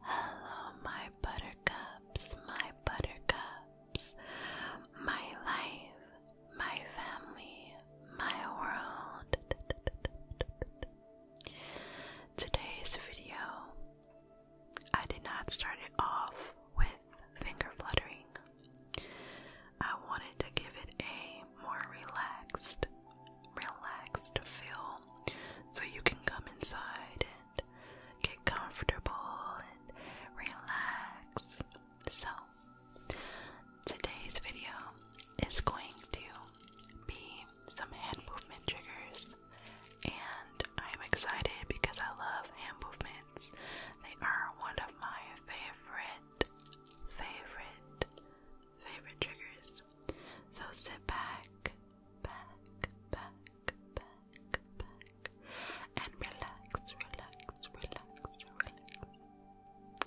Hello, my buttercups, my buttercups, my life, my family, my world. Today's video, I did not start it off with finger fluttering. I wanted to give it a more relaxed, relaxed feel so you can come inside and get comfortable and relax. So, today's video is going to be some hand movement triggers, and I'm excited because I love hand movements. They are one of my favorite, favorite, favorite triggers. So sit back, back, back, back, back, and relax, relax, relax, relax.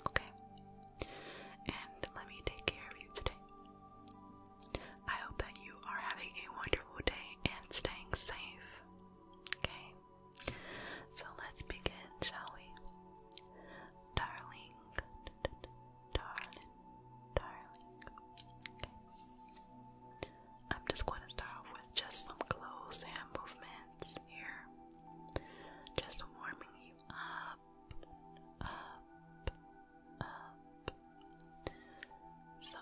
Okay? And let me take care of you today. I hope that you are having a wonderful day and staying safe. Okay? So let's begin, shall we? Darling, darling, darling. I'm just going to start off with just some close hand movements here. Just warming you up, up, up. So.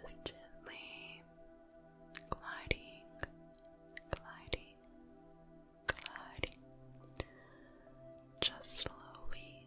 Just gently gliding, gliding, gliding. Just slowly.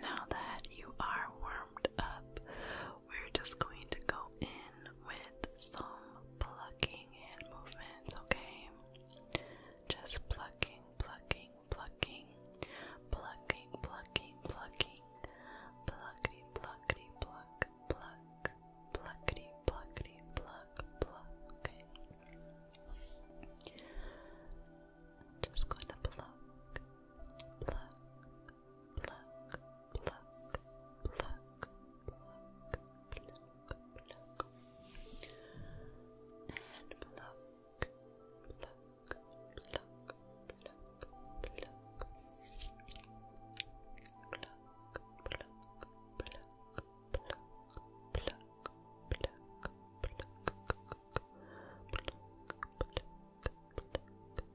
Now that you are warmed up, we're just going to go in with some plucking hand movements, okay? Just plucking, plucking, plucking, plucking, plucking, plucking, pluckity, pluckity, pluck, pluck, pluckity, pluckity, pluck, pluck, okay? Just going to pluck, pluck, pluck, pluck, pluck, pluck, pluck, and pluck, pluck, pluck, pluck, pluck, pluck, pluck, pluck. Pluck, pluck, pluck, pluck, pluck, pluck, pluck, pluck,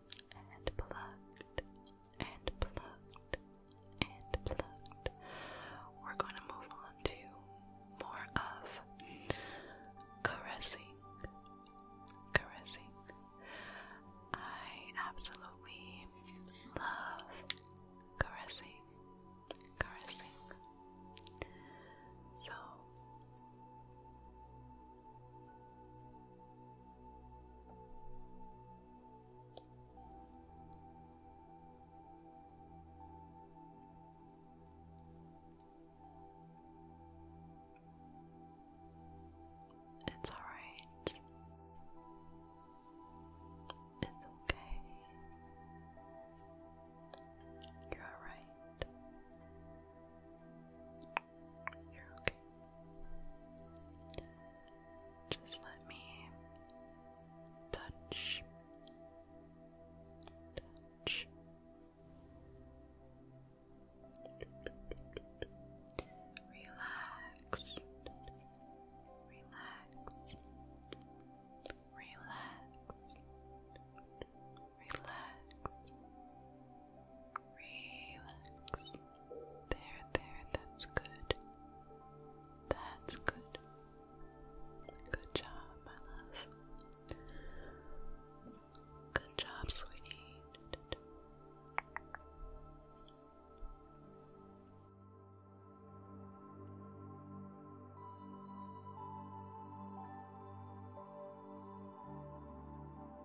and plucked and plucked and plucked. We're going to move on to more of caressing. Caressing. I absolutely love caressing. Caressing. So, it's all right. It's okay. You're all right. You're okay. Just let me touch, touch. Relax, relax, relax, Relax. Relax. There, there, that's good. That's good. Good job, my love. Good job, sweetie.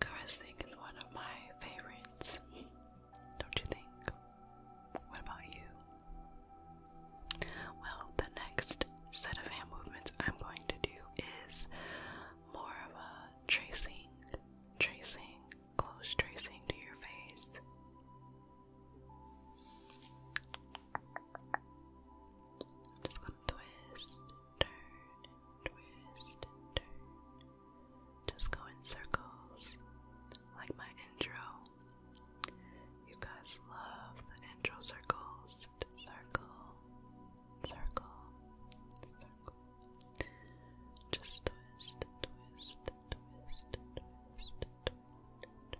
Caressing is one of my favorites, don't you think? What about you? Well, the next set of hand movements I'm going to do is more of a tracing, tracing, close tracing to your face. I'm just gonna twist turn twist turn. Just go in circles like my intro. You guys love the intro circles. Circle, circle, circle. Just twist, twist, twist, twist,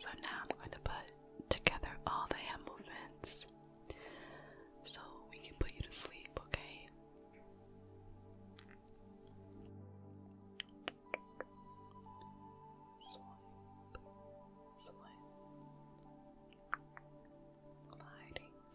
So now I'm going to put together all the hand movements so we can put you to sleep, okay? gliding. Now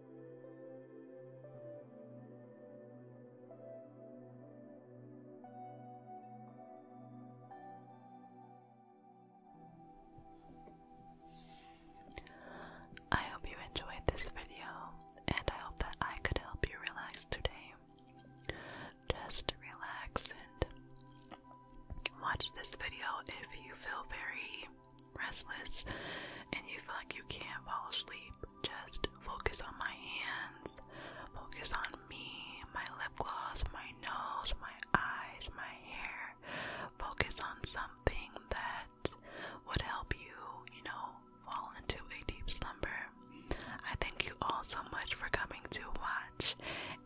I hope you enjoyed this video, and I hope that I could help you relax today. Just relax and watch this video if you feel very restless and you feel like you can't fall asleep, just focus on my hands, focus on me, my lip gloss, my nose, my eyes, my hair. Focus on something that would help you, you know, fall into a deep slumber. I thank you all so much for coming to watch,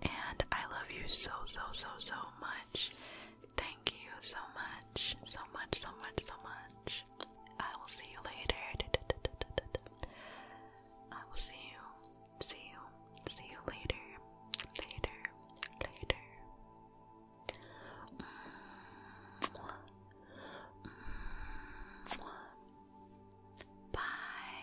and I love you so, so, so, so much. Thank you so much, so much, so much, so much. I will see you later. I will see you, see you, see you later, later, later. Bye.